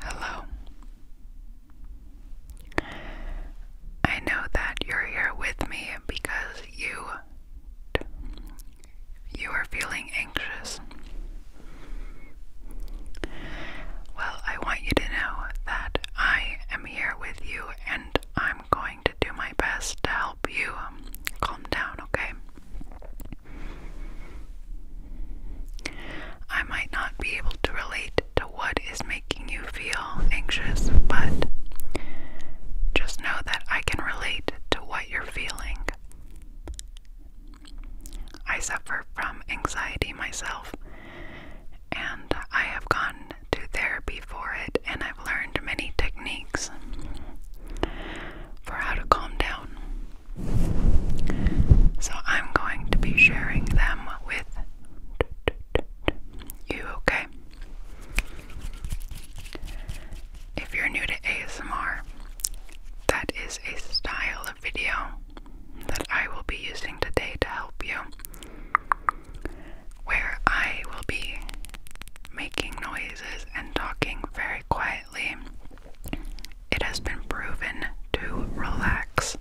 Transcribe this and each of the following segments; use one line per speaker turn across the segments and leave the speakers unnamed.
Hello. I know that you're here with me because you you are feeling anxious. Well, I want you to know that I am here with you and I'm I'm going to do my best to help you um, calm down, okay? I might not be able to relate to what is making you feel anxious, but just know that I can relate to what you're feeling. I suffer from anxiety myself, and I have gone to therapy for it, and I've learned many techniques for how to calm down. So I'm going to be sharing them with you, okay? If you're new to ASMR, that is a style of video that I will be using today to help you where I will be making noises and talking very quietly. It has been proven to relax,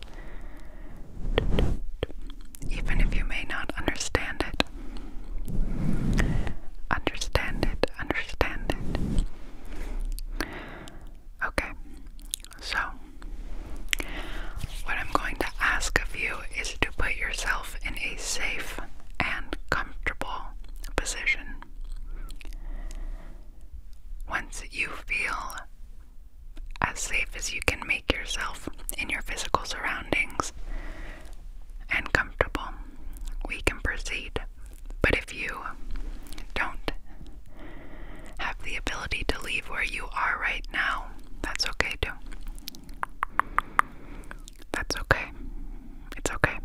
even if you may not understand it. Understand it, understand it. Okay, so what I'm going to ask of you is to put yourself in a safe and comfortable position. Once you feel as safe as you can make yourself in your physical surroundings and comfortable, we can proceed. But if you don't have the ability to leave where you are right now, that's okay too. That's okay. It's okay.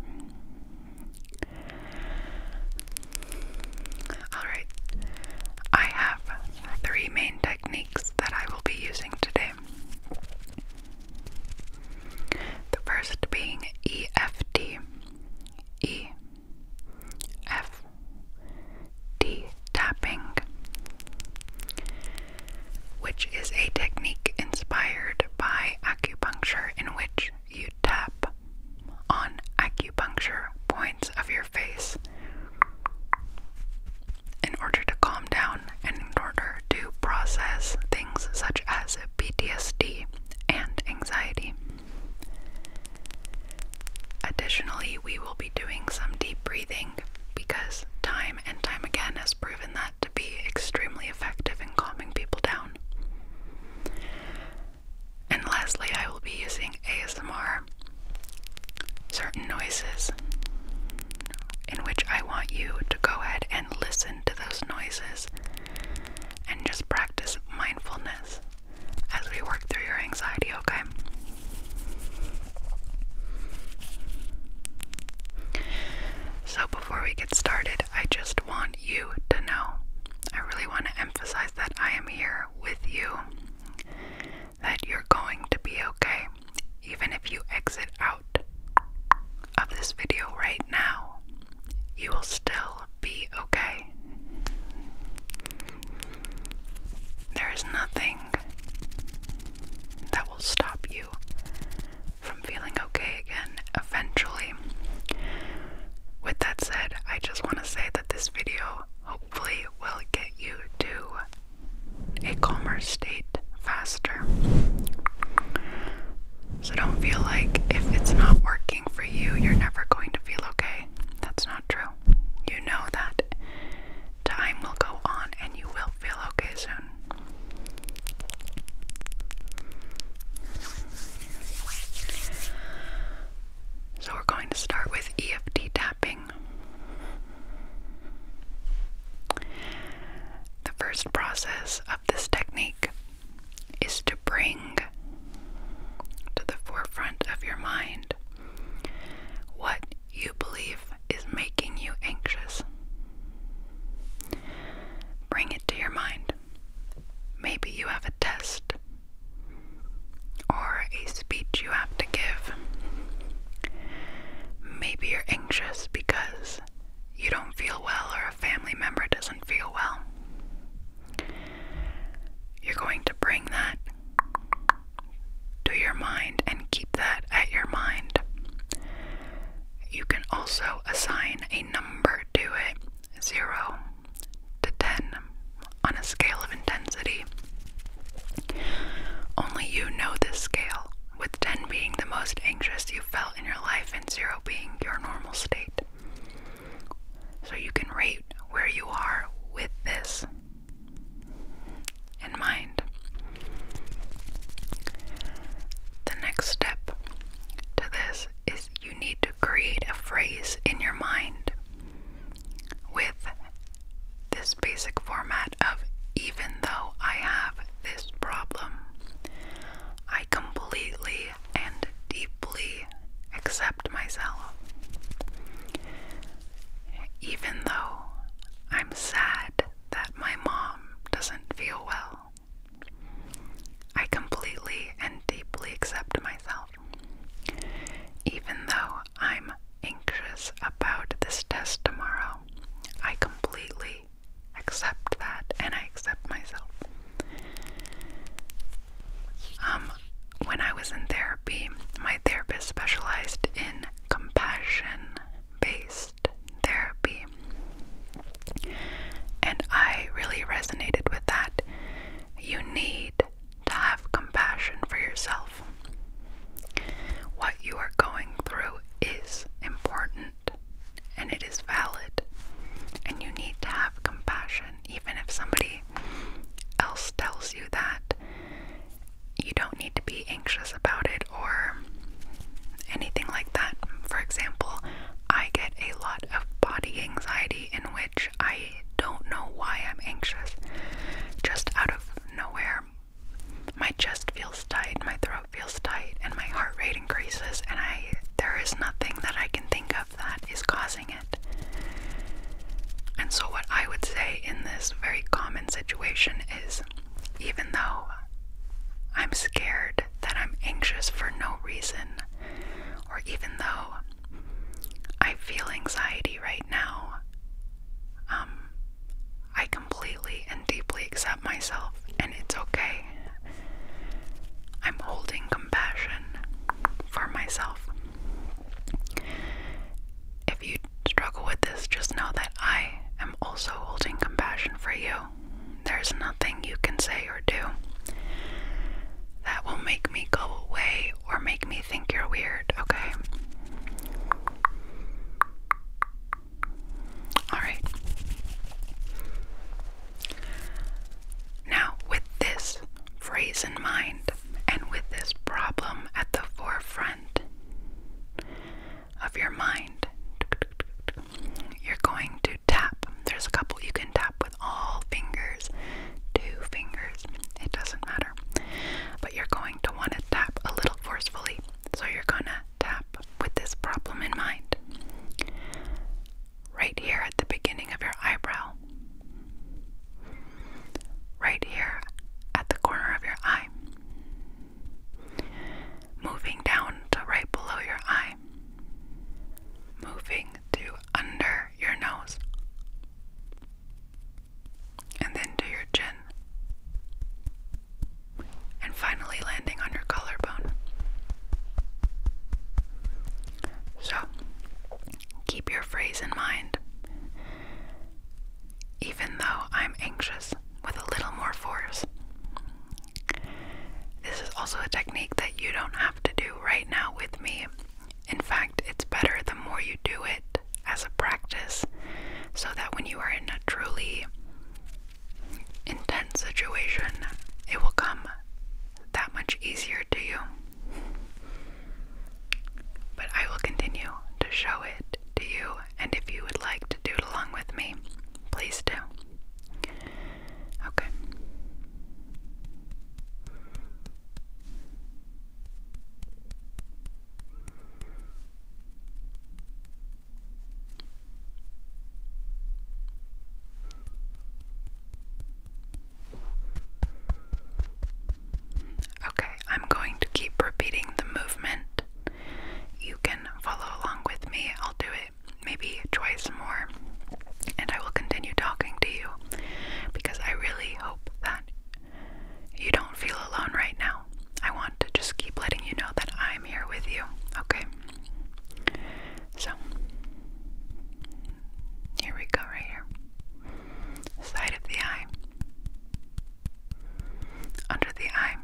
Alright, I have three main techniques that I will be using today. The first being EFT. E F D tapping which is a technique inspired by acupuncture in which you tap on acupuncture points of your face in order to calm down and in order to process things such as PTSD and anxiety. Additionally, we will be doing some deep breathing because time and time again has proven that to be extremely effective in calming people down. And lastly, I will be using ASMR certain noises in which I want you to go ahead and listen to those noises and just practice mindfulness as we work through your anxiety, okay? So, before we get started, I just want you to know I really want to emphasize that I am here with you, that you're going to be okay, even if you exit out of this video right now, you will still be okay. There is nothing that will stop you from feeling okay again eventually. With that said, I just want to say that this video hopefully will get you to a calmer state faster. So don't feel like if it's not working for you, you're never going to feel okay. That's not true. You know that. Time will go on and you will feel okay soon. So, we're going to start with EFT tapping. The first process of this technique is to bring to the forefront of your mind what you believe is making you anxious. Bring it to your mind. Maybe you have a test or a speech you have to give. Maybe you're anxious because you don't feel well or a family member doesn't feel well. You're going to bring that to your mind and keep that at your mind. You can also assign a number to it 0 to 10 on a scale of intensity. Only you know this scale, with 10 being the most anxious you felt in your life and 0 being your normal state. So you can rate where you are with this in mind. The next step to this is you need to create a phrase in your mind with this basic format of even though I have this problem, I completely and deeply accept myself. Even though I'm sad that my mom doesn't feel well. I completely and deeply accept myself. Even though I'm anxious about this test tomorrow, I completely accept that and I accept myself. Um, when I was in therapy, my therapist specialized in compassion based therapy. And I really resonated with that. You need to have compassion for yourself. What you are going through is important and it is valid. And you need to have compassion, even if somebody else tells you that you don't need to be anxious about it or anything like that. For example, I get a lot of body anxiety in which I don't know why I'm anxious. Just out of nowhere, my chest feels tight, my throat feels tight, and my heart rate increases, and I there is nothing that I can think of that is causing it. And so, what I would say in this very common situation is even though I'm scared that I'm anxious for no reason, or even though I feel anxiety right now, um, I completely and deeply accept myself, and it's okay. I'm holding compassion for myself. If you struggle with this, just know that I am also holding compassion for you. There's nothing you can say or do that will make me go away or make me think you're weird, okay? Alright. Now, with this phrase in mind and with this problem at the forefront, of your mind. You're going to tap. There's a couple you can tap with all fingers, two fingers, it doesn't matter. But you're going to want to tap a little forcefully. So you're going to tap with this problem in mind. Right here at the beginning of your eyebrow. Right here at the corner of your eye. Moving down to right below your eye. Moving to under your nose. And then to your chin. And finally landing on your collarbone. So, keep your phrase in mind. Even though I'm anxious, with a little more force. This is also a technique that you don't have to do right now with me. In fact, it's better the more you do it as a practice so that when you are in a truly intense situation, it will come that much easier to you. But I will continue to show it to you and if you would like to do it along with me, please do. Okay. Okay, I'm going to keep repeating the movement you can follow along with me. I'll do it maybe twice more, and I will continue talking to you because I really hope that you don't feel alone right now. I want to just keep letting you know that I'm here with you, okay? So, here we go, right here. Side of the eye, under the eye,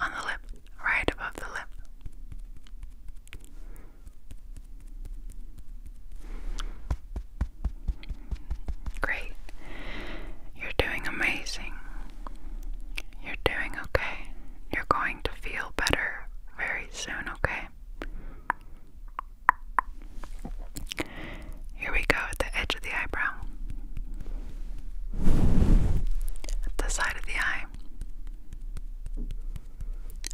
on the lip, right above the lip. Great. You're doing amazing. You're doing okay. You're going to feel better very soon, okay? Here we go at the edge of the eyebrow, at the side of the eye,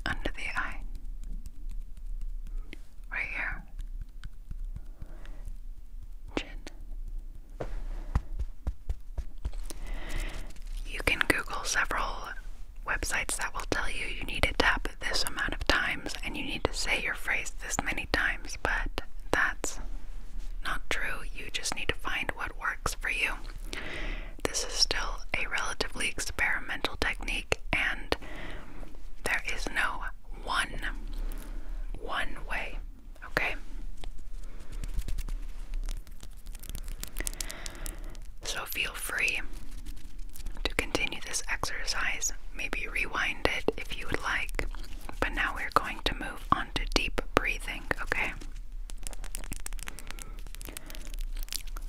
under the eye, right here, chin. You can Google several websites that will tell you you need to tap this amount of time and you need to say your phrase this many times, but that's not true. You just need to find what works for you. This is still a relatively experimental technique and there is no one one way, okay? So feel free to continue this exercise. Maybe rewind it if you would like. But now we're going to move on to deep breathing, okay?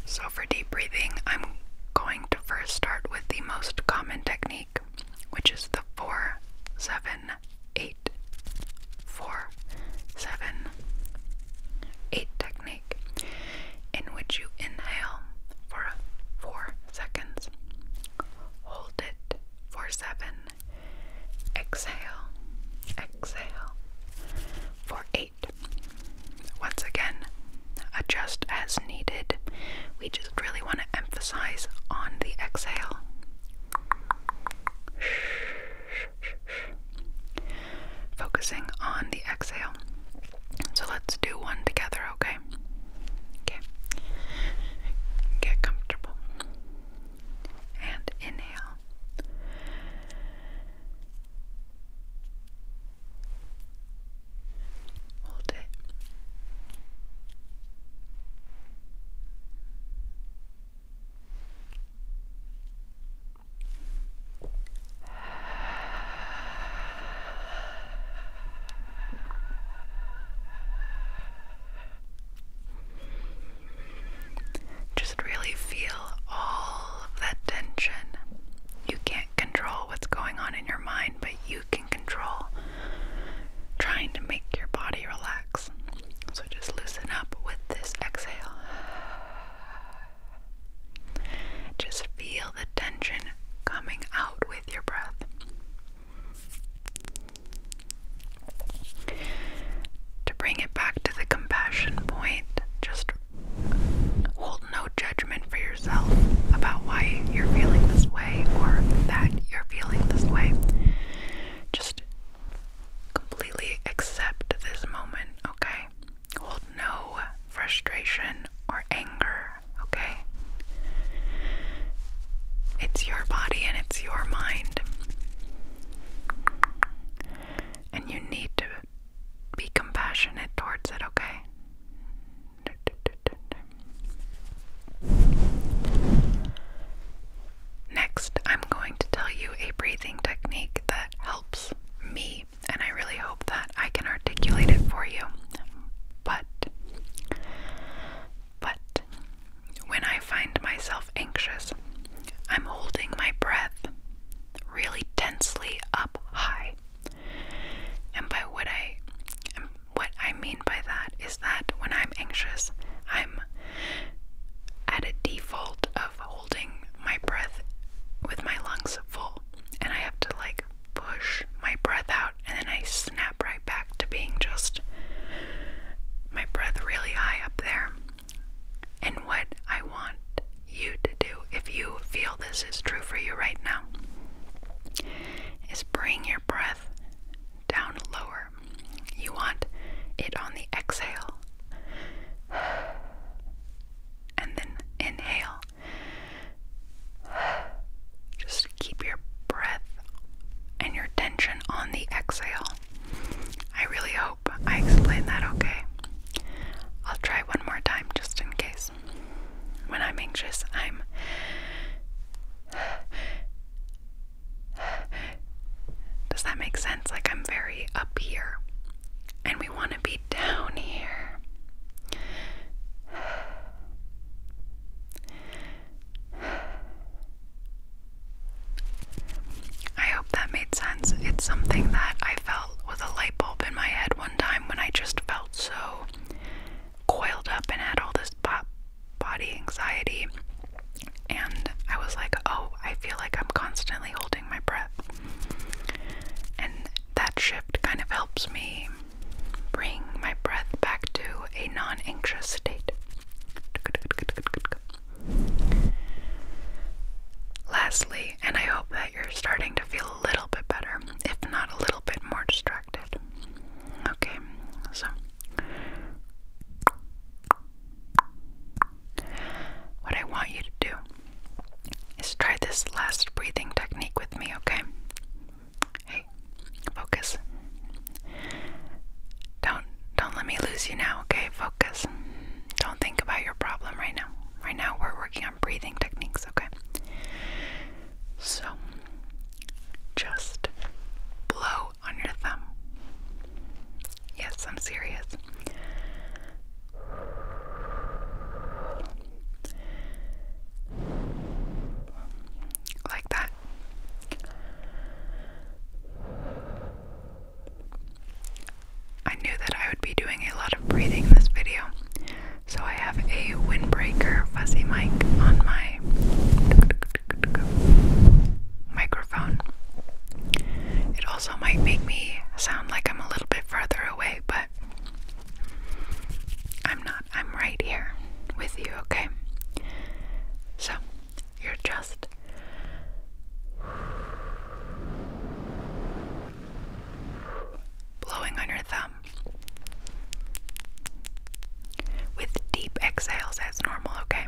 So, for deep breathing, I'm going to first start with the most common technique, which is the 4 7 8 4 7 8 technique, in which you inhale for 4 seconds, hold it four seven exhale exhale Four eight once again adjust as needed we just really want to emphasize on the exhale focusing on the exhale so let's do one together okay Okay. Get comfortable. And inhale. Hold it. Just really feel all that tension. You can't control what's going on in your mind, but you can control trying to make your body relax. So just loosen up with this exhale. Just feel the tension coming out with your breath. To bring it back to the compassion point, just hold no judgment for yourself about why you're feeling this way or that you're feeling this way. Just completely accept this moment, okay? Hold no frustration or anger okay? It's your body and it's your mind. And you need to be compassionate towards it, okay? Next, I'm going to tell you a breathing technique that helps me, and I really hope that I can articulate it for you. But, but, when I find myself anxious, I'm holding my breath really tensely up high. And by what I what I mean by that is that when I'm anxious, I'm at a default of holding my breath with my lungs full, and I have to like push my breath out and then I snap right back to being just my breath really high up there. And what I want you to do, if you feel this is true for you right now, is bring your breath down lower. You want it on the exhale. And then inhale just keep your breath and your tension on the exhale. I really hope I explained that okay. I'll try one more time just in case. When I'm anxious, I'm Does that make sense? Like I'm very up here and we want to be down here. I hope that made sense. It's something that I felt with a light bulb in my head one time when I just felt so coiled up and had all this body anxiety. And I was like, oh, I feel like I'm constantly holding my breath. And that shift kind of helps me bring my breath back to a non anxious state. Lastly, and I hope that you're starting to feel a little bit better, if not a little bit more distracted. Okay, so what I want you to do is try this last breathing technique with me, okay? Hey, focus. Don't don't let me lose you now, okay? Focus. Don't think about your problem right now. Right now we're working on breathing techniques, okay? So just blow on your thumb. Yes, I'm serious. Like that. I knew that I would be doing a lot of breathing in this video, so I have a windbreaker fuzzy mic on my microphone. It also might make me sound like I'm a little bit further away, but I'm not. I'm right here with you, okay? So, you're just blowing on your thumb with deep exhales as normal, okay?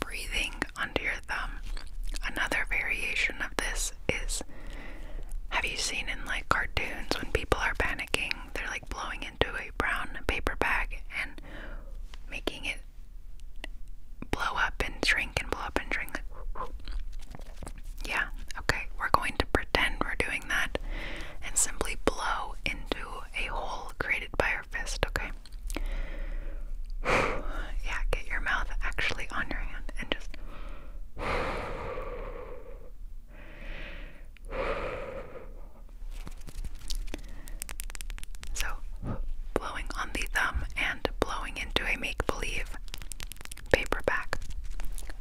Breathing under your thumb. Another variation of this is have you seen in like cartoons when people are they're like blowing into a brown paper bag and making it blow up and shrink and blow up and shrink. yeah, okay. We're going to pretend we're doing that and simply blow into a hole created by our fist, okay? yeah, get your mouth actually on your hand and just. So, blowing on the thumb and blowing into a make believe paperback,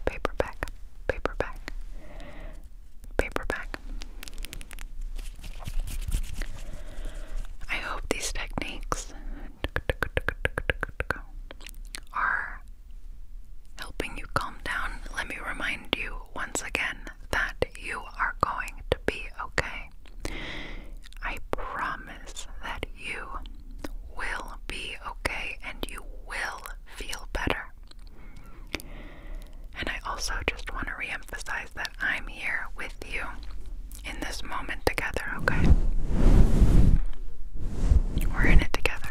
paperback, paperback, paperback. I hope these techniques are helping you calm down, let me remind you once again that you are going to be okay. I promise that you will be okay and you will feel better. And I also just want to reemphasize that I'm here with you in this moment together, okay? We're in it together.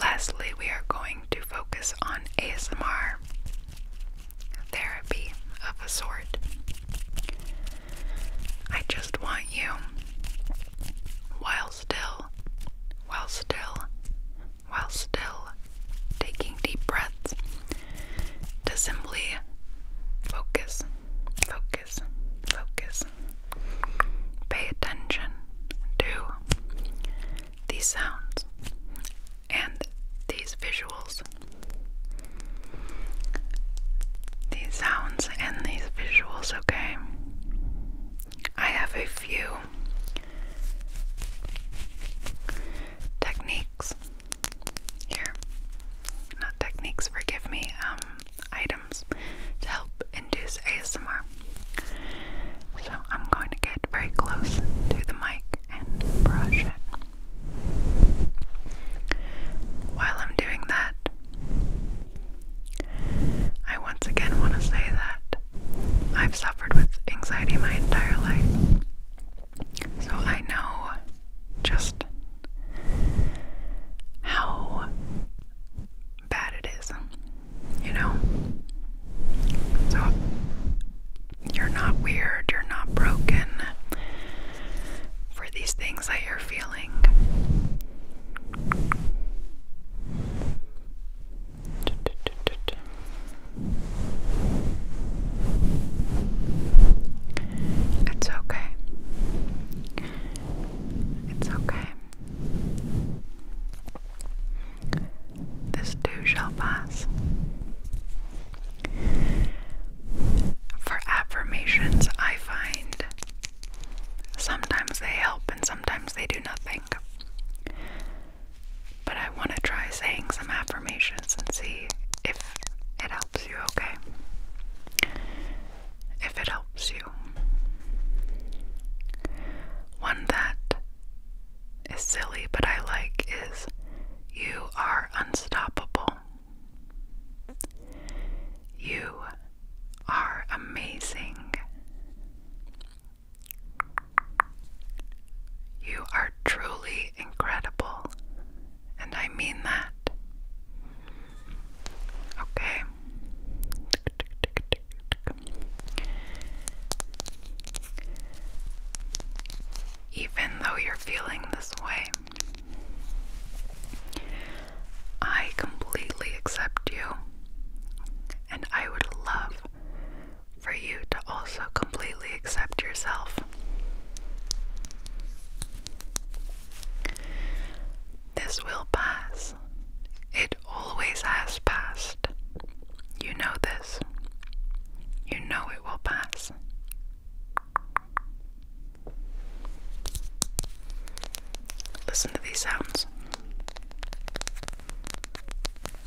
Lastly, we are going to focus on ASMR therapy of a sort. I just want you, while still, while still, while still taking deep breaths to simply focus, focus, focus. Pay attention to these sounds and these visuals. These sounds and these visuals, okay? I have a few techniques here. Not techniques, forgive me, um, items to help induce ASMR. So I'm going to get very close to the mic and brush it. While I'm doing that, I once again want to say that I've suffered with anxiety my entire life. So I know just how bad it is, you know? So you're not weird, you're not broken for these things that you're feeling. It's okay. It's okay. This too shall pass. For affirmations, I find sometimes they help and sometimes they do nothing. But I want to try saying some affirmations and see if it helps you, okay? If it helps you. One that is silly but I like is you are unstoppable. You are amazing. You are truly incredible, and I mean that. Okay. Even though you're feeling this way, I completely accept you, and I would love for you to also completely accept yourself. This will pass. It always has passed. You know this. You know it will pass. Listen to these sounds.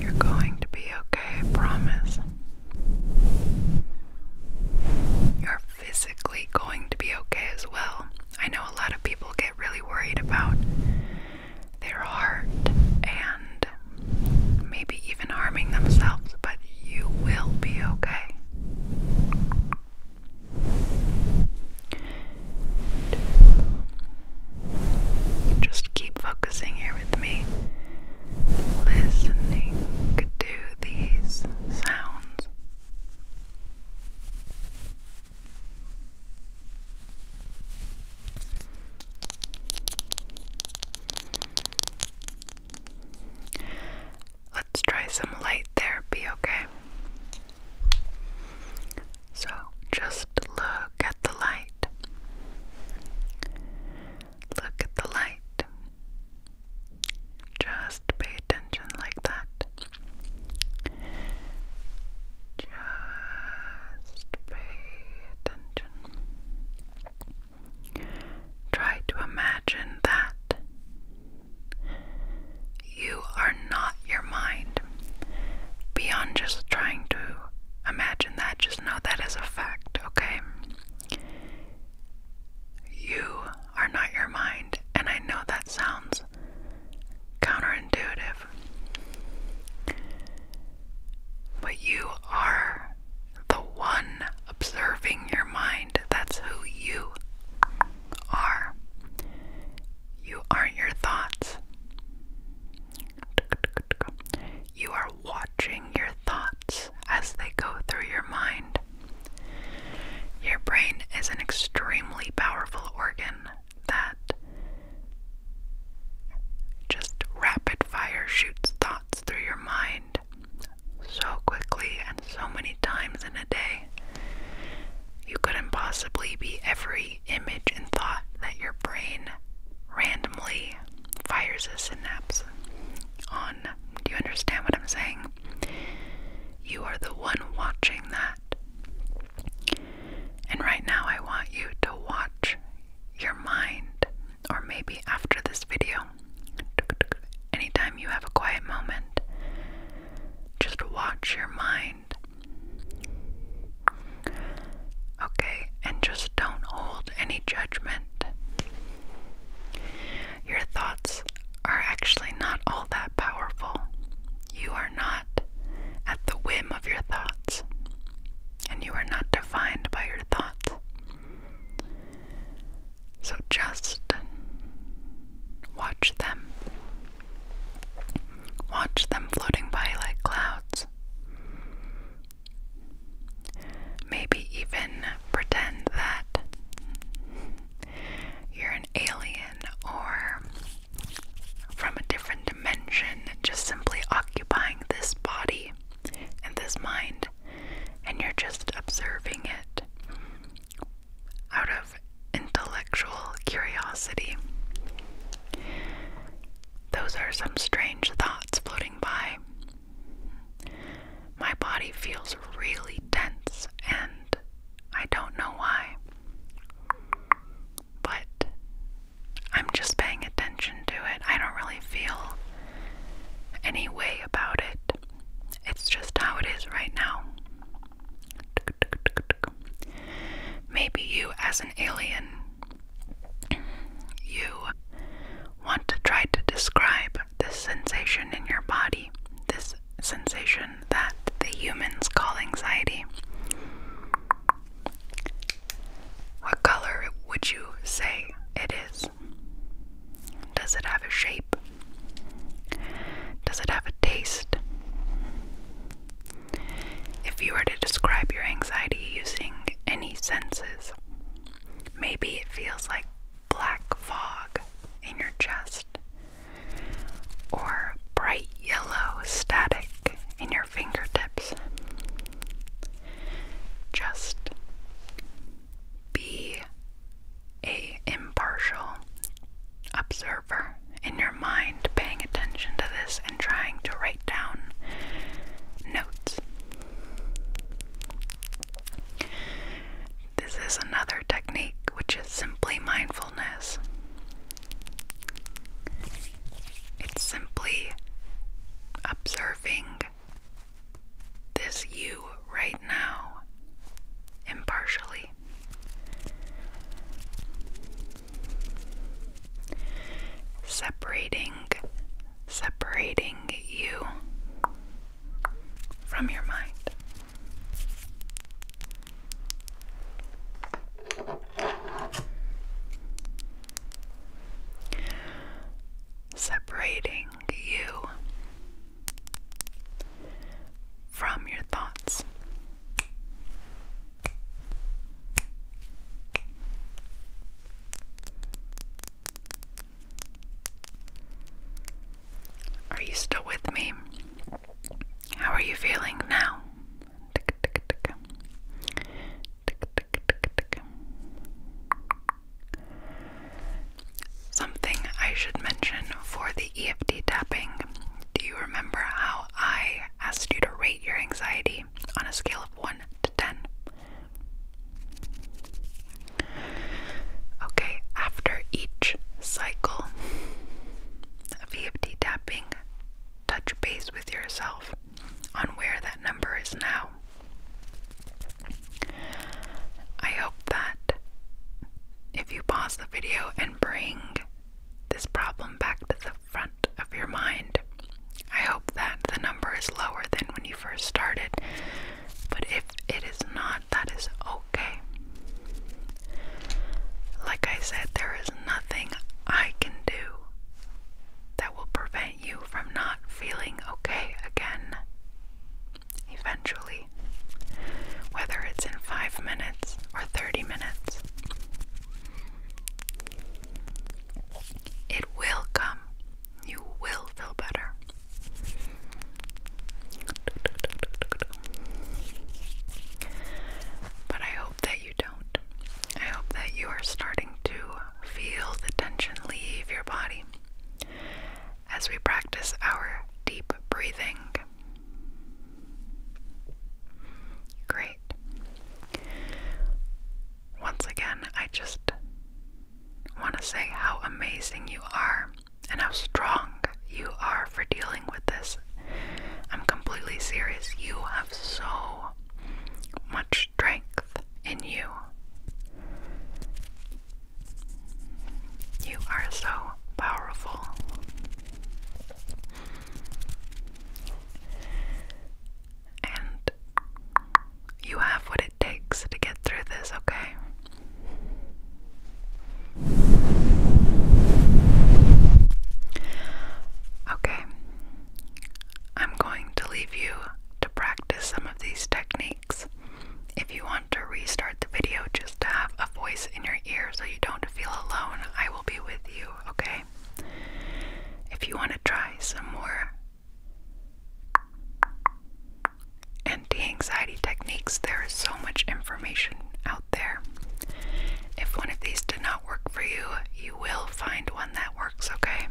You're going to be okay, promise. You're physically going to be okay as well. I know a lot of people get really worried about their heart and maybe even harming themselves, but you will be okay just keep focusing here with me, listening to these sounds. Let's try some light therapy, okay? So just look at the light. Look at the light. Just pay attention like that. Just pay attention. Try to imagine that you are not your mind. Beyond just trying to imagine that, just know that is a fact, okay? You are not your mind, and I know that sounds counterintuitive. But you are the one observing your mind. That's who you are. You aren't your thoughts. You are watching your thoughts as they go through your mind. Your brain is an extremely powerful organ that just rapid fire shoots thoughts through your mind so quickly and so many times in a day. You couldn't possibly be every image and thought that your brain randomly fires a synapse on. Do you understand what I'm saying? You are the one watching that. And right now, I want you to watch your mind, or maybe after this video, anytime you have a quiet moment, just watch your mind. Okay, and just don't hold any judgment. Your thoughts are actually not all that powerful. You are not at the whim of your thoughts, and you are not defined by your thoughts. So just watch them. Watch them floating by like clouds. Maybe even pretend that you're an alien or from a different dimension, just simply occupying this body and this mind, and you're just observing it out of intellectual curiosity. Those are some strange thoughts floating by. My body feels really tense and I don't know why. But I'm just paying attention to it. I don't really feel any way about it. It's just how it is right now. Maybe you, as an alien, you want to try to describe this sensation in your body, this sensation that the humans call anxiety. What color would you say it is? Does it have a shape? Does it have a taste? If you were to describe your anxiety using any senses, maybe it feels like black fog in your chest or bright yellow static in your fingertips. Just be a impartial observer in your mind paying attention to this and trying to write down notes. This is another technique which is simply mindfulness. It's simply observing this you right now impartially. Separating, separating you from your mind. Separating you from your thoughts. Are you still with me? How are you feeling now? Something I should mention for the EFT tapping. Do you remember how I asked you to rate your anxiety on a scale of 1 to 10? Okay, after each cycle of EFT tapping, touch base with yourself on where that number is now. I hope that if you pause the video and bring this problem back to the front of your mind. I hope that the number is lower than when you first started, but if it is not, that is okay. Like I said, there is nothing I can do that will prevent you from not feeling okay again eventually, whether it's in five minutes or 30 minutes. It will come. You will feel better. But I hope that you don't. I hope that you are starting to feel the tension leave your body as we practice our deep breathing Great. Once again, I just want to say how amazing you are and how strong you are for dealing with this. I'm completely serious. You have so much strength in you. You are so powerful. And you have what it takes to get through this, okay? Okay. I'm going to leave you to practice some of these techniques if you want to restart the video just to have a voice in your ear so you don't feel alone, I will be with you, okay? If you want to try some more anti anxiety techniques, there is so much information out there. If one of these did not work for you, you will find one that works, okay?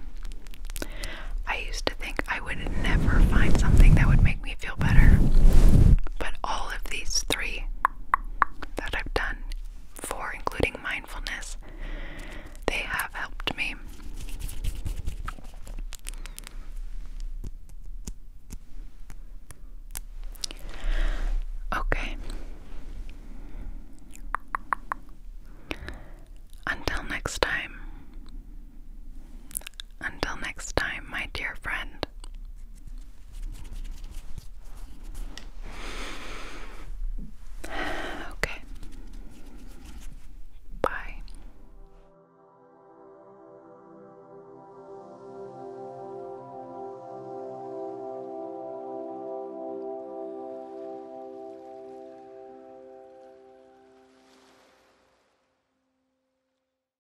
I used to think I would never find something that would make me me feel better. But all of these three that I've done, four including mindfulness, they have helped me. Okay. Until next time, until next time, my dear friend. Okay. Bye.